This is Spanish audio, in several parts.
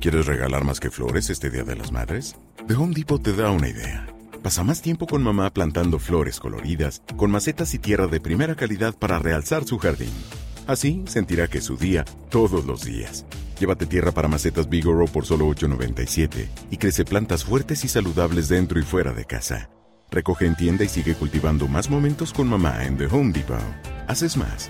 ¿Quieres regalar más que flores este Día de las Madres? The Home Depot te da una idea. Pasa más tiempo con mamá plantando flores coloridas, con macetas y tierra de primera calidad para realzar su jardín. Así sentirá que es su día todos los días. Llévate tierra para macetas Bigoro por solo $8.97 y crece plantas fuertes y saludables dentro y fuera de casa. Recoge en tienda y sigue cultivando más momentos con mamá en The Home Depot. Haces más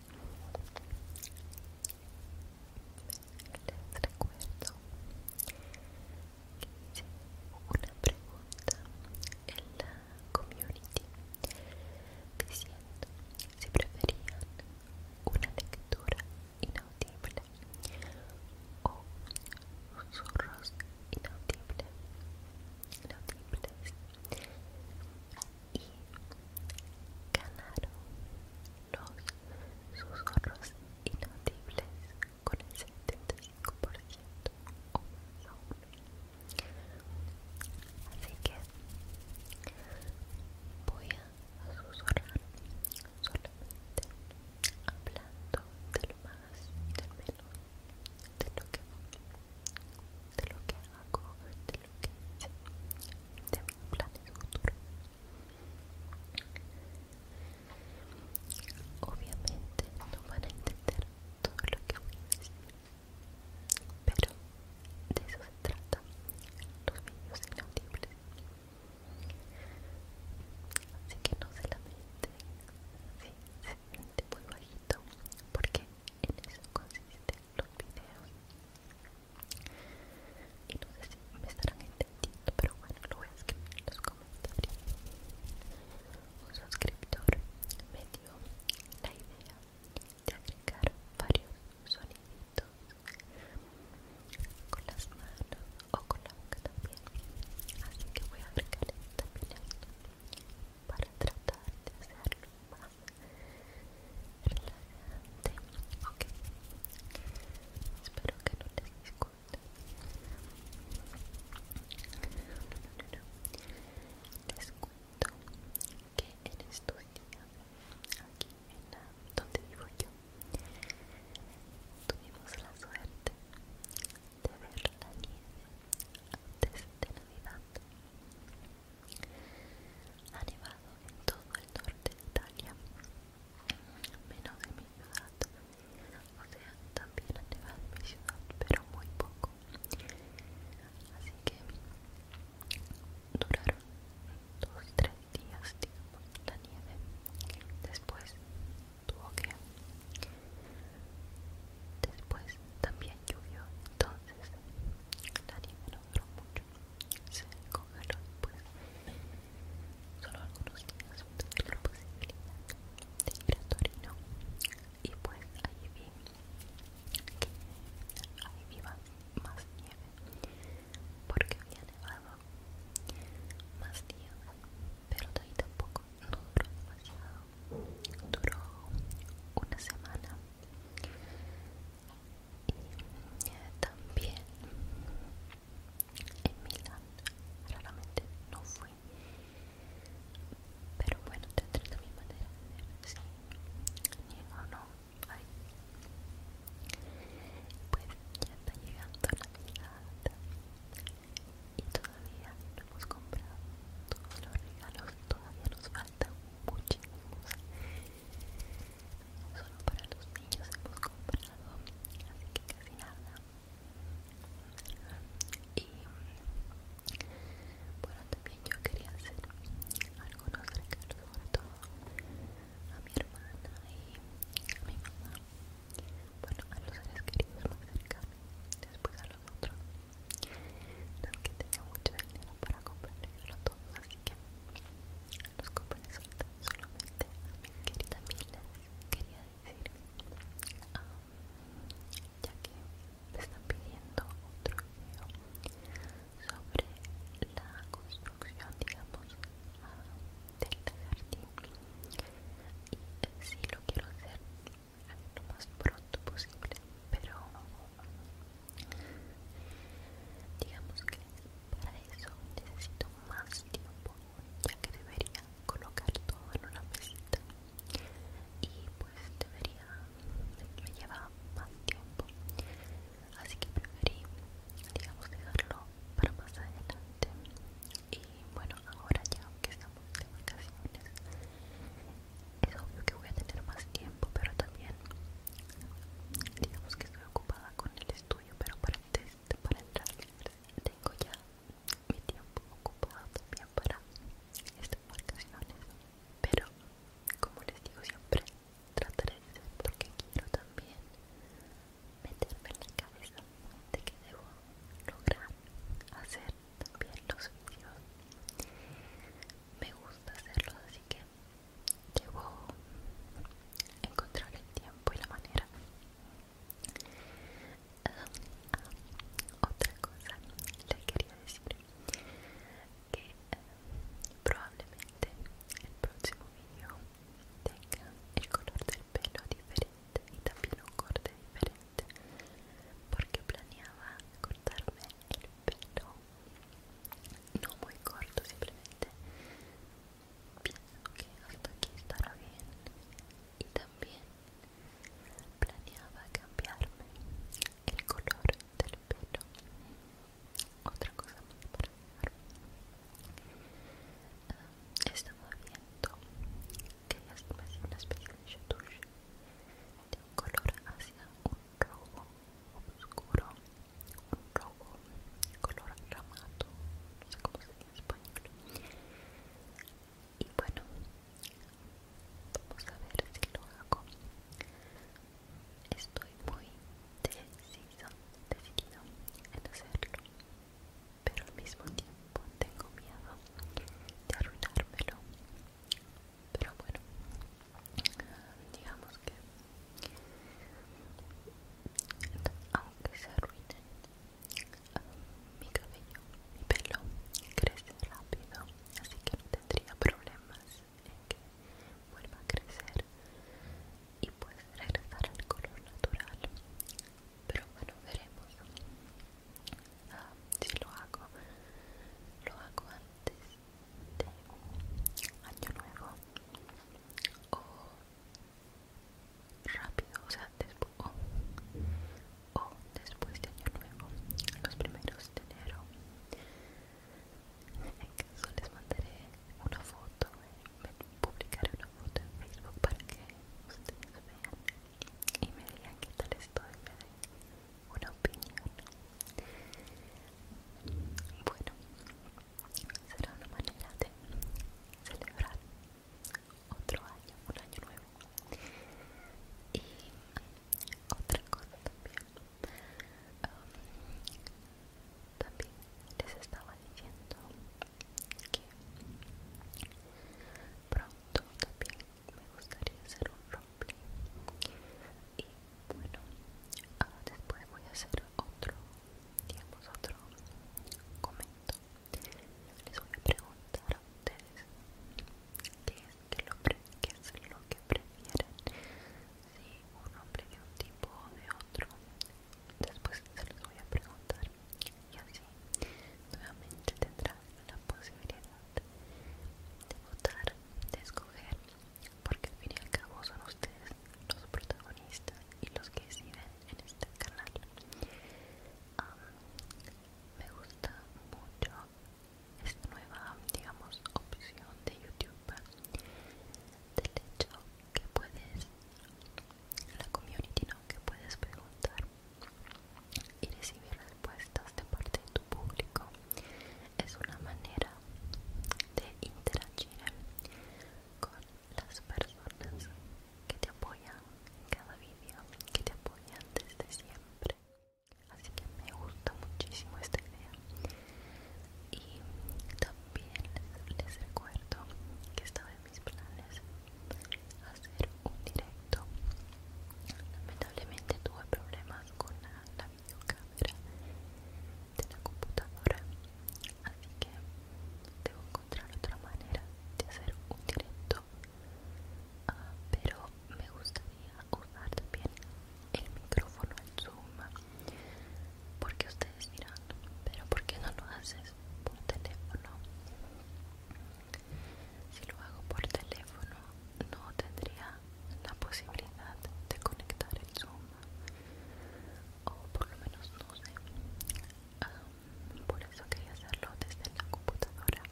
Les recuerdo que hice una pregunta en la community diciendo si preferían una lectura inaudible o susurros inaudibles inaudibles y ganaron los susurros inaudibles con el 75% o más Así que voy a susurrar solamente hablando de lo más y del menos de lo que de lo que hago, lo que planes futuros. Obviamente no van a entender todo lo que voy a decir, pero de eso se trata los vídeos inaudibles. Así que no se lamente si se siente muy bajito, porque en eso consiste los videos y no sé si me estarán entendiendo pero bueno lo voy a escribir en los comentarios un suscriptor me dio la idea de agregar varios sonidos con las manos o con la boca también así que voy a agregar también esto para tratar de hacerlo más espero que no te disguste no, no, no. les cuento que en estos aquí en la, donde vivo yo tuvimos la suerte de ver la nieve antes de navidad ha nevado en todo el norte de Italia, menos de mi ciudad. O sea, también ha nevado en mi ciudad, pero muy poco. Así que duraron dos, tres días, digamos, la nieve. Después tuvo que... Después también lluvió entonces la me no duró mucho se congeló después pues, solo algunos días tuve la posibilidad de ir a Torino y pues ahí vi que ahí viva más nieve porque había nevado más nieve pero de ahí tampoco no duró demasiado duró una semana y también en Milán raramente no fui pero bueno te entré mi manera de ver si o no Ay. pues ya está llegando la Navidad y todavía no hemos comprado todos los regalos todavía nos falta faltan muchísimos solo para los niños hemos comprado así que casi nada y bueno también yo quería hacer algunos regalos sobre todo a mi hermana y a mi mamá bueno a los seres queridos más cercanos después a los otros no es que tenga mucho dinero para comprarlo todo, así que los compré solamente a mi querida Quería decir, ah, ya que me están pidiendo otro video sobre la construcción, digamos, ah, del jardín, y si lo quiero hacer lo más pronto posible pero digamos que para eso necesito más tiempo ya que debería colocar todo en una mesita y pues debería me lleva más tiempo así que preferí digamos dejarlo para más adelante y bueno ahora ya que estamos de vacaciones es obvio que voy a tener más tiempo pero también digamos que estoy ocupada con el estudio pero para el para entrar tengo ya mi tiempo ocupado también para estas vacaciones pero como les digo siempre trataré de hacer porque quiero también meterme en la cabeza de que debo lograr hacer también los vídeos me gusta hacerlo así que debo encontrar el tiempo y la manera ah, otra cosa les quería decir que eh, probablemente el próximo vídeo tenga el color del pelo diferente y también un corte diferente porque planeaba cortarme el pelo no muy corto simplemente pienso que hasta aquí estará bien y también planeaba cambiarme el color del pelo otra cosa más para está estaba viendo que hace una especie de chatouche de un color hacia un rojo oscuro, un rojo color ramado, no sé cómo se en español. Y bueno, vamos a ver si lo hago. Estoy muy decidido decidido en hacerlo, pero al mismo tiempo tengo miedo de arruinármelo pero bueno digamos que aunque se arruinen mi cabello mi pelo crece rápido así que no tendría problemas en que vuelva a crecer y pues regresar al color natural pero bueno veremos ah, si lo hago lo hago antes de año nuevo o rápido o sea después o, después de año nuevo los primeros de enero en caso les mandaré una foto publicaré una foto en Facebook para que ustedes vean y me digan qué tal estoy una opinión. Bueno, será una manera de celebrar otro año, un año nuevo. Y otra cosa también. Um, también les estaba diciendo que pronto también me gustaría hacer un rompe y bueno ah, después voy a hacer otro digamos otro comento les voy a preguntar a ustedes qué es, lo, que prefieren si un hombre de un tipo o de otro después se los voy a preguntar y así nuevamente tendrá la posibilidad de votar, de escoger, porque al fin y al cabo son ustedes los protagonistas y los que sirven en este canal. me gusta mucho esta nueva, digamos, opción de YouTube del hecho que puedes la community no que puedes preguntar y recibir respuestas de parte de tu público es una manera de interactuar con las personas que te apoyan en cada vídeo, que te apoyan desde siempre. Así que me gusta muchísimo esta idea. Y también les, les recuerdo que estaba en mis planes hacer un directo lamentablemente tuve problemas con la, videocámara de la computadora así que debo encontrar otra manera de hacer un directo ah, pero me gustaría usar también el micrófono en zoom porque ustedes dirán pero por qué no lo haces por teléfono si lo hago por teléfono, no tendría la posibilidad de conectar el Zoom, o por lo menos no sé. Ah, por eso quería hacerlo desde la computadora.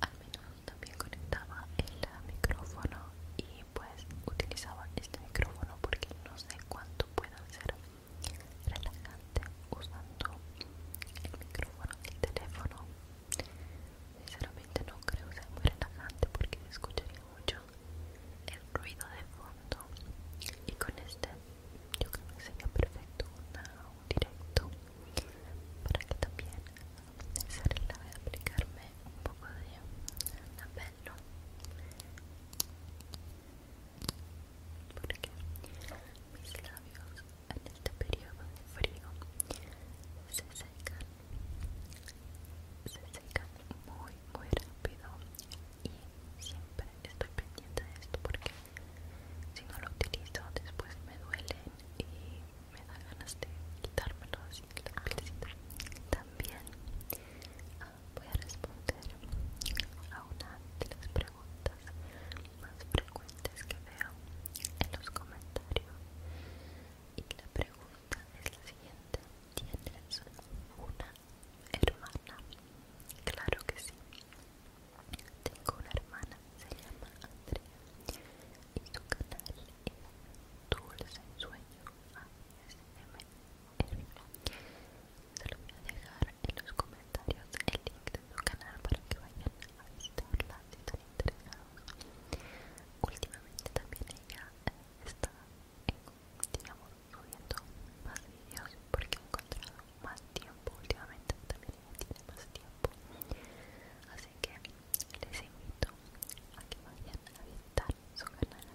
Al menos también conectaba el micrófono y pues utilizaba este micrófono porque no sé cuánto pueda ser relajante usando el micrófono del teléfono Sinceramente no creo que sea muy relajante porque se escucharía mucho el ruido de fondo y con este yo creo que sería perfecto un directo para que también se de aplicarme un poco de labelo porque mis labios en este periodo de frío se secan se secan muy muy rápido y siempre estoy pendiente de esto porque si no lo utilizo después me duelen y me da ganas de quitármelo así que la también ah, voy a responder a una de las preguntas más cuentas que veo en los comentarios y la pregunta es la siguiente ¿Tienes una hermana? Claro que sí Tengo una hermana, se llama Andrea y su canal es Dulce Sueño ASMR Se lo voy a dejar en los comentarios el link su canal para que vayan a visitarla si están interesados últimamente también ella eh, está digamos subiendo más videos porque he encontrado más tiempo últimamente también ella tiene más tiempo así que les invito a que vayan a visitar su canal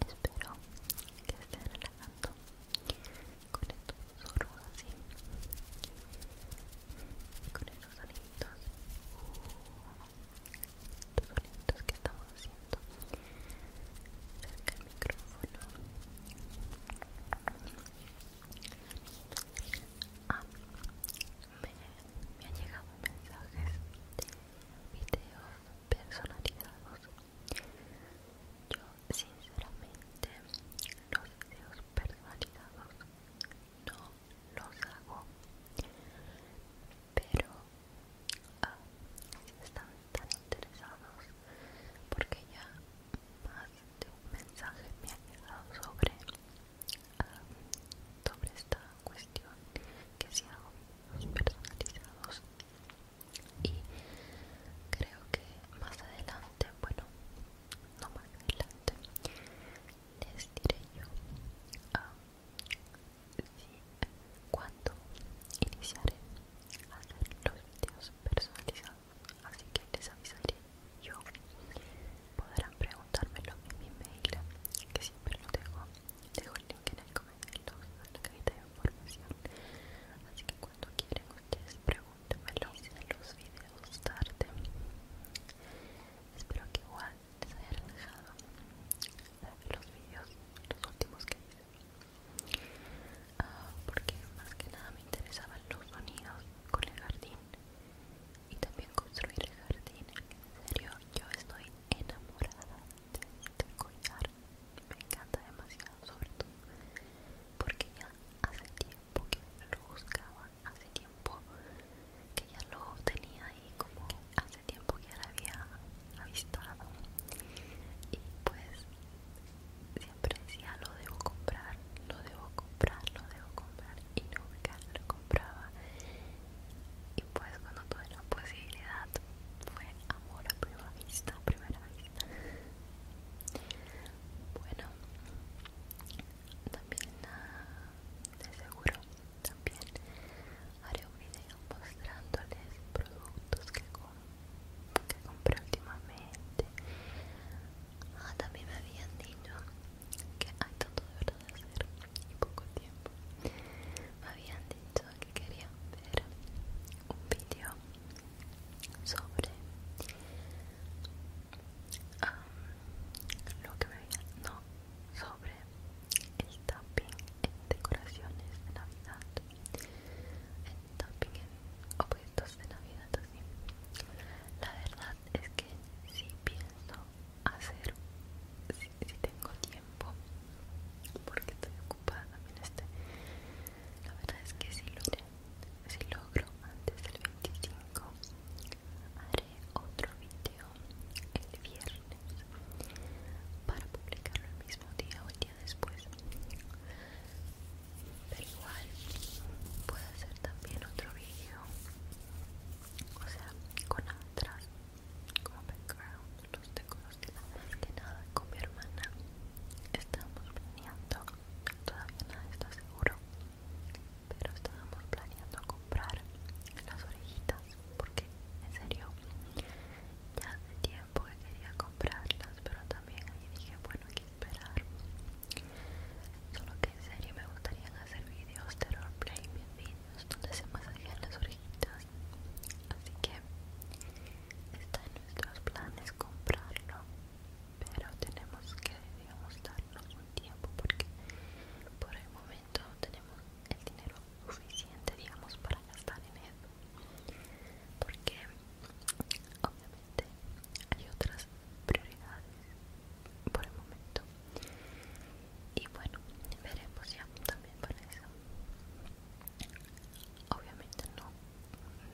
espero que estén relajando con estos sorbos así con esos sonitos estos sonidos que estamos haciendo cerca del micrófono ah, me, han llegado mensajes de videos personalizados yo sinceramente los videos personalizados no los hago, pero ah, están tan interesados porque ya más de un mensaje me ha llegado sobre, ah, sobre esta cuestión que si hago los personalizados y creo que más adelante bueno no más adelante les diré yo a ah, cuando iniciaré a hacer los videos personalizados así que les avisaré yo podrán preguntármelo en mi mail que siempre lo dejo dejo el link en, el, comentario la así que cuando quieren ustedes si hice los videos tarde espero que igual les hayan dejado los videos los últimos que hice ah, porque más que nada me interesaban los sonidos con el jardín y también construir el jardín en serio yo estoy enamorada de este collar me encanta demasiado sobre todo porque ya hace tiempo que lo buscaba hace tiempo que ya lo tenía ahí como hace tiempo que ya la había avistado y pues siempre decía lo debo comprar lo debo comprar lo debo comprar y nunca lo compraba y pues cuando tuve la posibilidad fue amor a primera vista primera vista bueno, también ah, de seguro también haré un video mostrándoles productos que, compré últimamente. Ah, también me habían dicho que hay tanto de verdad de hacer y poco tiempo. Me habían dicho que querían ver un video sobre ah, lo que me no, sobre el tapping en decoraciones de navidad el tapping en objetos de navidad así la verdad es que si pienso hacer si, si tengo tiempo porque estoy ocupada también este la verdad es que si logro, si logro antes del 25 haré otro video el viernes para publicarlo el mismo día o el día después. Pero igual puedo hacer también otro video, o sea, con atrás como background los decorados más que nada con mi hermana. Estábamos planeando, todavía nada está seguro, pero estábamos planeando comprar las orejitas porque en serio ya hace tiempo que quería comprarlas, pero también ahí dije bueno hay que esperar. Solo que en serio me gustaría hacer videos de roleplay, videos donde se masajean las orejitas. Así que está en nuestros planes comprarlo pero tenemos que digamos darnos un tiempo porque por el momento tenemos el dinero suficiente digamos para gastar en eso porque obviamente hay otras prioridades por el momento y bueno veremos ya también para eso obviamente no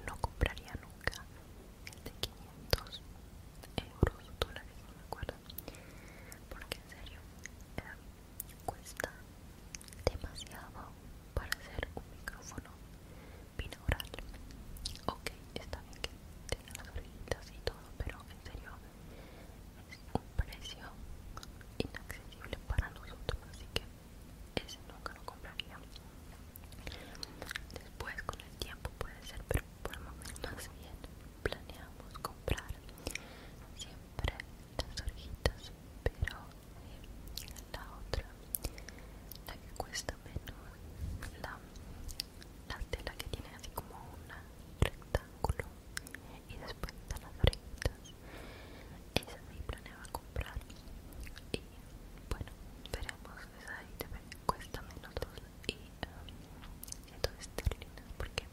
no compraría nunca el de 500 euros o dólares, no me acuerdo porque en serio cuesta demasiado para hacer un micrófono binaural ok, está bien que tenga las orillitas y todo pero en serio es un precio inaccesible para nosotros así que ese nunca lo compraría después con el tiempo puede ser pero por el momento bien planeamos comprar siempre las orejitas pero eh, la otra la que cuesta menos la, la tela que tiene así como un rectángulo y después están las orejitas esa sí planeaba comprar y bueno veremos esa ahí te cuesta menos y entonces um, esterlinas porque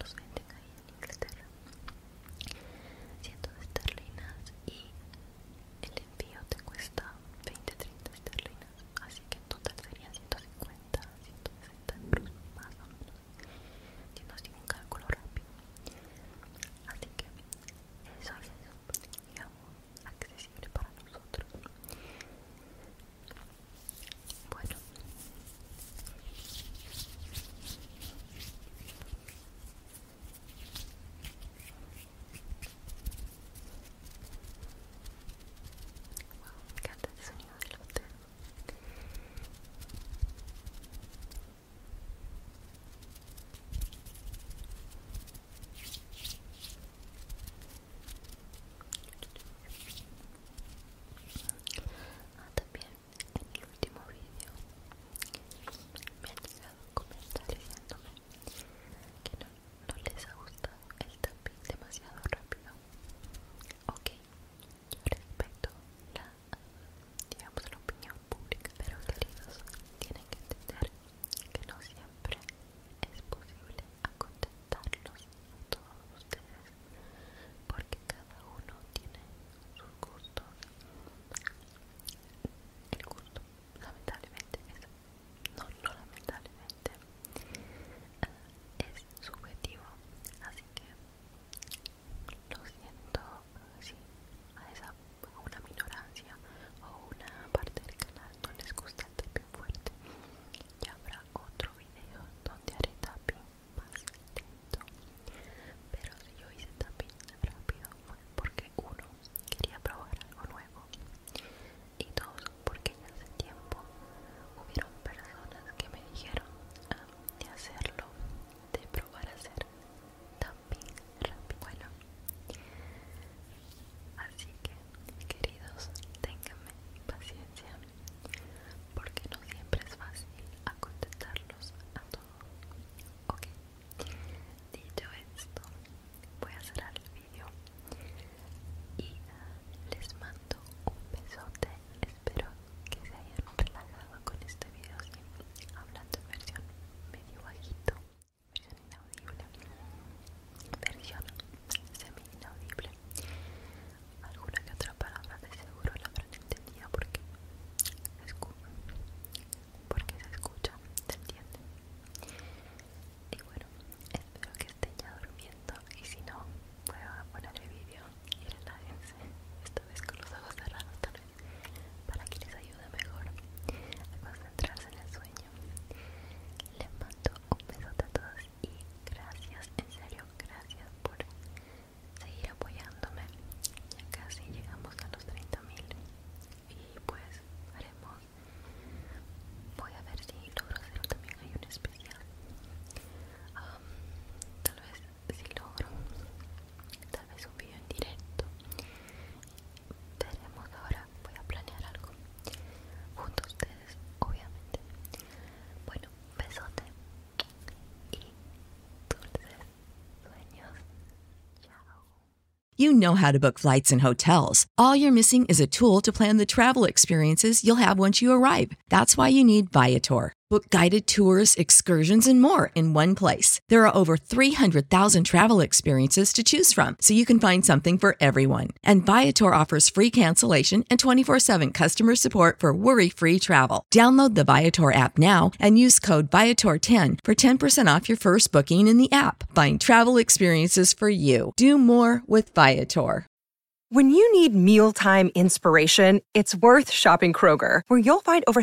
los venden ahí en Inglaterra 100 esterlinas y el envío te cuesta 20-30 esterlinas así que en total serían 150 160 en plus más o menos siendo así un cálculo rápido así que eso es, digamos, accesible para nosotros. Bueno, wow, me encanta el sonido del hotel. Ah, también en el último vídeo me han llegado comentarios diciéndome que no, les ha gustado el tapping demasiado rápido. Ok, yo respecto la digamos la opinión pública pero queridos tienen que entender que no siempre es posible acontentarlos a todos ustedes porque cada uno tiene sus gustos el gusto lamentablemente no, no lamentablemente es subjetivo así que lo siento si a esa una minorancia o una parte del canal no les gusta el tapping fuerte ya habrá otro video donde haré tapping más lento pero si yo hice tapping rápido fue porque uno quería probar algo nuevo y dos porque en ese tiempo hubieron personas que me dijeron ah, de hacerlo de probar a hacer bueno, así que, queridos, ténganme paciencia, porque no siempre es fácil acontentarlos a todos. Ok, dicho esto, voy a cerrar el vídeo y les mando un besote. Espero que se hayan relajado con este videos este video hablando en versión medio bajito, versión inaudible, versión semi inaudible. Alguna que otra palabra de seguro la habrán entendido porque se escucha, porque se escucha, se entiende. Y bueno, espero que estén ya durmiendo y si no, voy a poner el vídeo y relájense, esta vez con los ojos cerrados para que les ayude mejor a concentrarse en el sueño. Les mando un besote a todos y gracias, en serio, gracias por seguir apoyándome. Ya casi llegamos a los 30.000 y pues haremos. Voy a ver si logro hacer también hay un especial. Um, tal vez You know how to book flights and hotels. All you're missing is a tool to plan the travel experiences you'll have once you arrive. That's why you need Viator. Book guided tours, excursions, and more in one place. There are over 300,000 travel experiences to choose from, so you can find something for everyone. And Viator offers free cancellation and 24 7 customer support for worry free travel. Download the Viator app now and use code Viator10 for 10% off your first booking in the app. Find travel experiences for you. Do more with Viator. When you need mealtime inspiration, it's worth shopping Kroger, where you'll find over